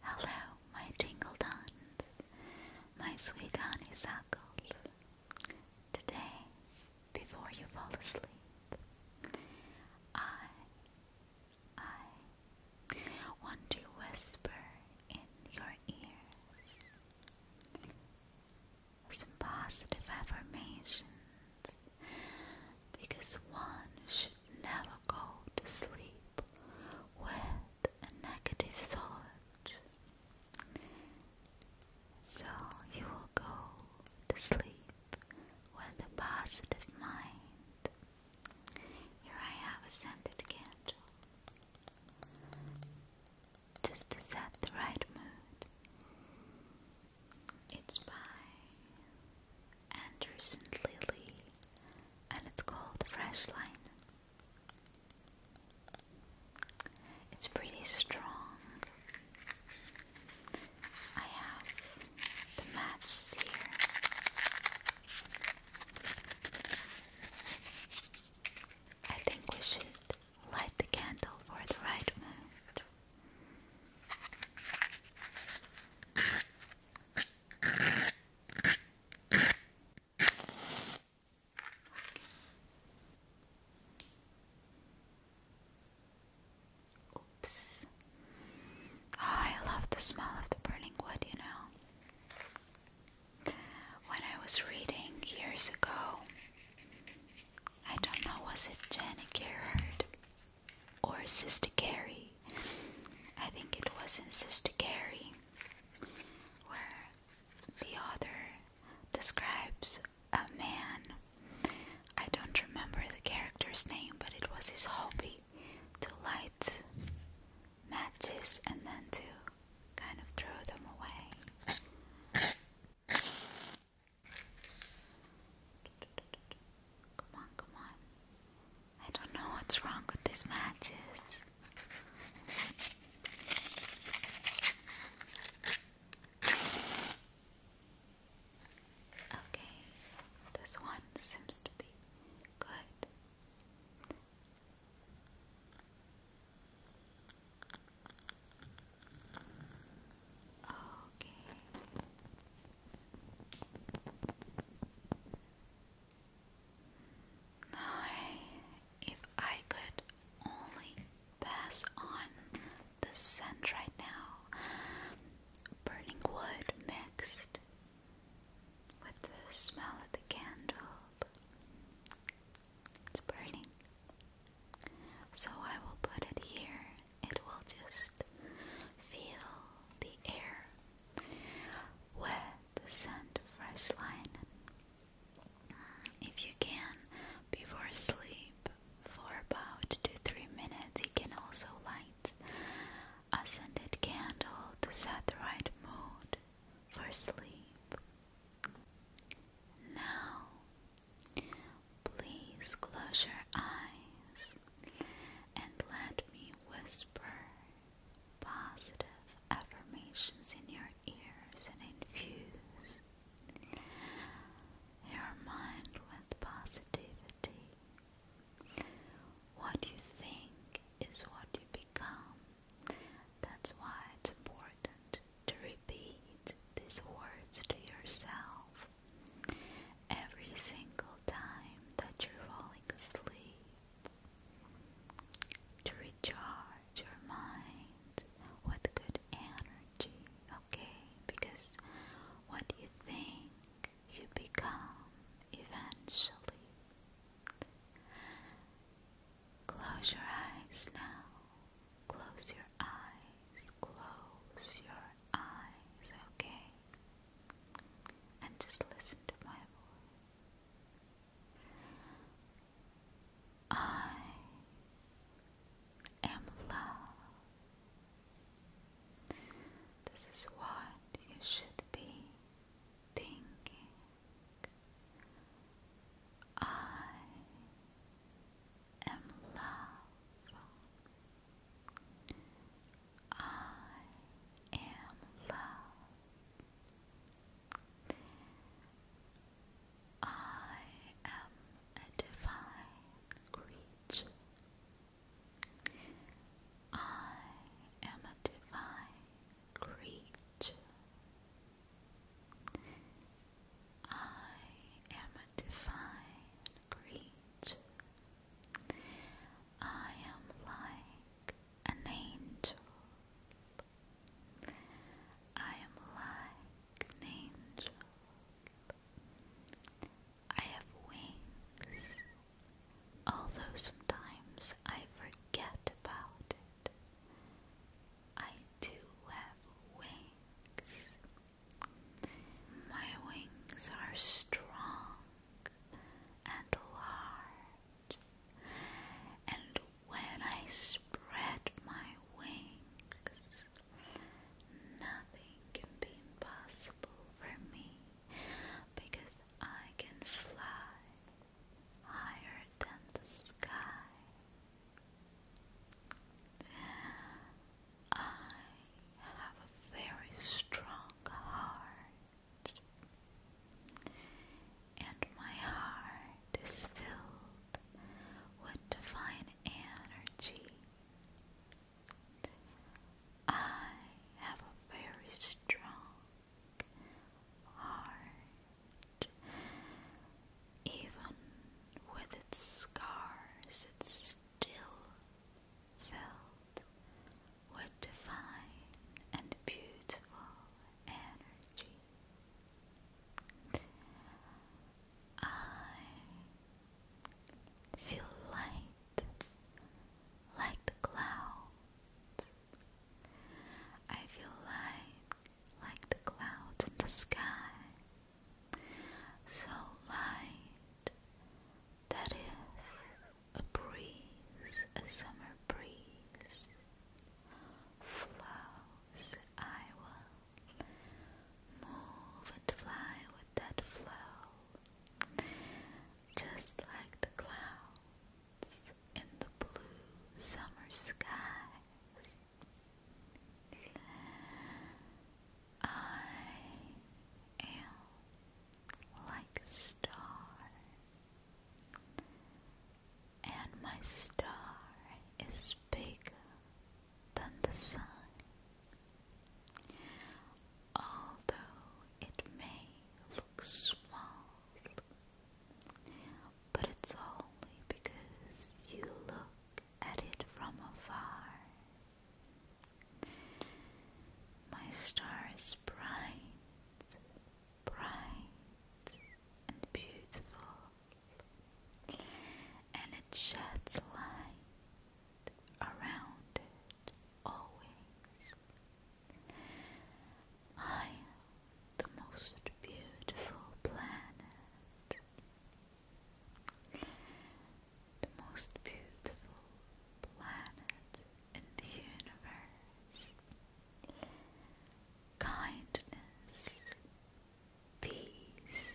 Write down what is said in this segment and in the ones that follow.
Hello, my tingle dons, my sweet honeysuckles. Today, before you fall asleep, I, I want to whisper in your ears some positive affirmations because one should never go to sleep with a negative thought. So you will go to sleep with a positive mind. Here I have a scented candle just to set the right mood. It's by Anderson Lily, and it's called Fresh Line. It's pretty strong. I have the matches here. I think we should light the candle for the right mood. Oops. Oh, I love the smell of the burning wood, you know. When I was reading years ago, I don't know, was it Janet Gerhard or Sister Carrie. I think it was in Sister Carrie where the author describes a man. I don't remember the character's name, but it was his hobby to light matches and then to kind of throw them away. Come on, come on. I don't know what's wrong with these matches. Okay, this one seems to be good. Okay. No, if I could only pass on the scent right now, burning wood mixed with the smell of the candle. It's burning. So I will put it here. It will just feel the air with the scent fresh line. If you can, before sleep, for about two three minutes, you can also light a scented candle to set the right mood for sleep. Now, please close your eyes and let me whisper positive affirmations in your ears and infuse your mind with positivity. What you think is what you become. That's why it's important to repeat these words to yourself every single time that you're falling asleep to recharge your mind with good energy, okay? Because what you think you become eventually. Close your eyes now Close your eyes, close your eyes, okay? And just listen to my voice. I am love. This is what you should be thinking. I am love. I am love. I am a divine creature. I am a divine creature. I am a divine creature. I am like an angel. I am like an angel. I have wings, although sometimes I forget about it. I do have wings. My wings are strong and large, and when I spread my wings, nothing can be impossible for me because I can fly higher than the sky. I have a very strong heart, and my heart is filled with divine energy. I have a very strong heart. Even with its scars, it still felt with divine and beautiful energy. I feel light like the cloud. I feel light like the clouds in the sky, so light that if a breeze, a summer breeze, flows, I will move and fly with that flow, just like the clouds in the blue summer skies. I am like a star, and my star is bigger than the sun, although it may look small but it's only because you look at it from afar. My star is bright, bright, and beautiful, and it sheds light around it always. I the most beautiful planet. The most beautiful planet in the universe. Kindness, peace,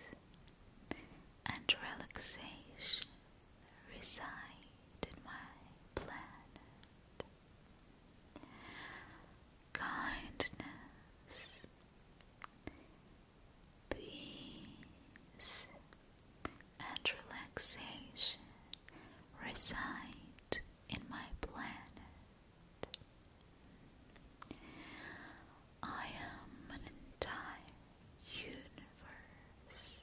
and relaxation reside in my planet kindness, peace, and relaxation reside in my planet. I am an entire universe,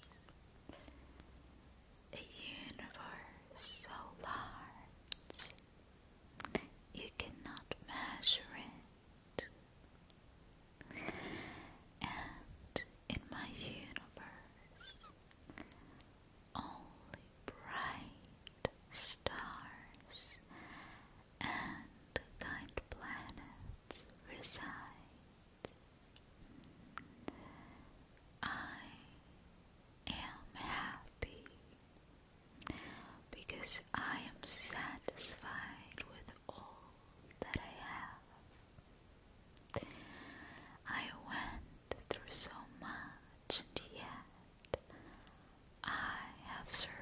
a universe so large you cannot measure it. And in my universe, only bright stars and kind planets reside. I am happy because I am satisfied with all that I have. I went through so much, yet I have survived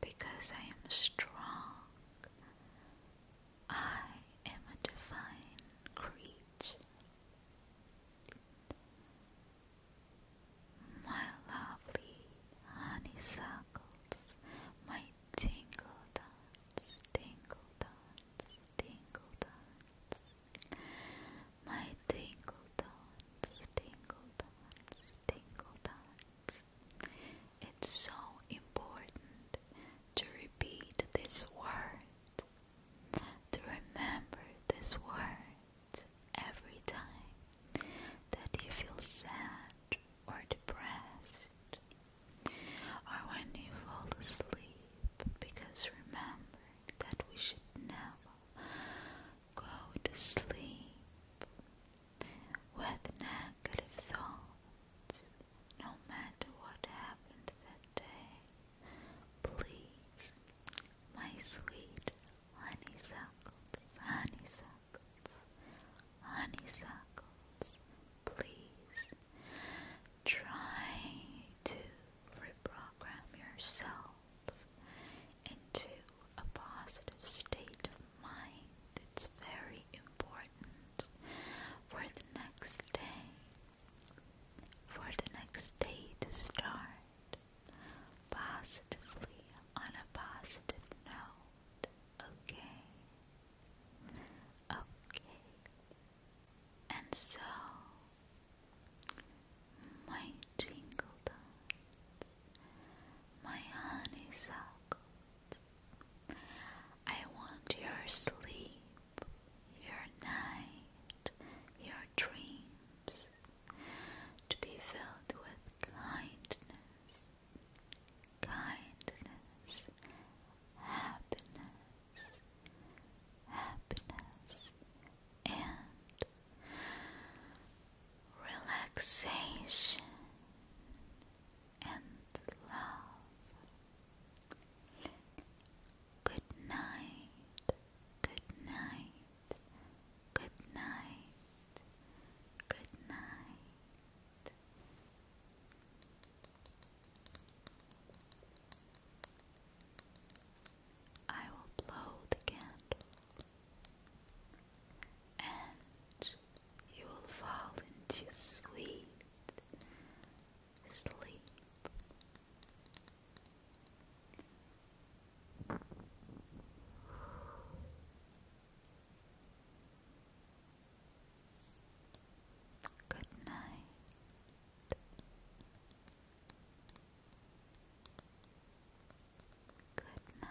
because I am strong. I am a divine creature. My lovely honeysuckles, my tingle dots, tingle my tingle dots, tingle It's so important to repeat this word to remember this word every time that you feel sad or depressed or when you fall asleep because remember that we should never go to sleep with negative thoughts no matter what happened that day, please, my sweet honeysuckles, honeysuckles, honeysuckles, please try to reprogram yourself into a positive state of mind. It's very important for the next day, for the next day to start positively on a positive note. Okay. Okay. And so, my jingle dots, my honeysuckle, I want your sleep, your night, your dreams to be filled with kindness, kindness, happiness, happiness, and relaxation and love. Good night, good night, good night, good night. I will blow the candle and you will fall into sweet sleep. Good night. Good night.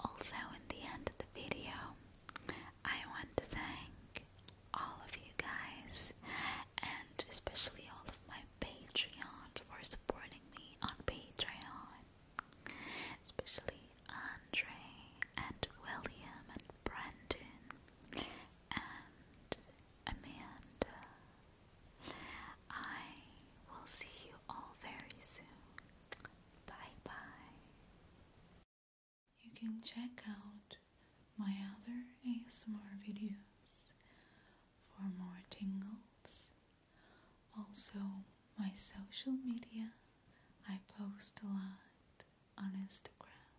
Also, in the end of the video, I want to thank all of you guys and especially all of my Patreons for supporting me on Patreon, especially Andre and William and Brandon and Amanda. I will see you all very soon. Bye bye. You can check out my other ASMR videos for more tingles. Also, my social media, I post a lot on Instagram.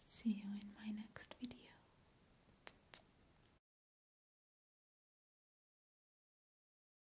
See you in my next video.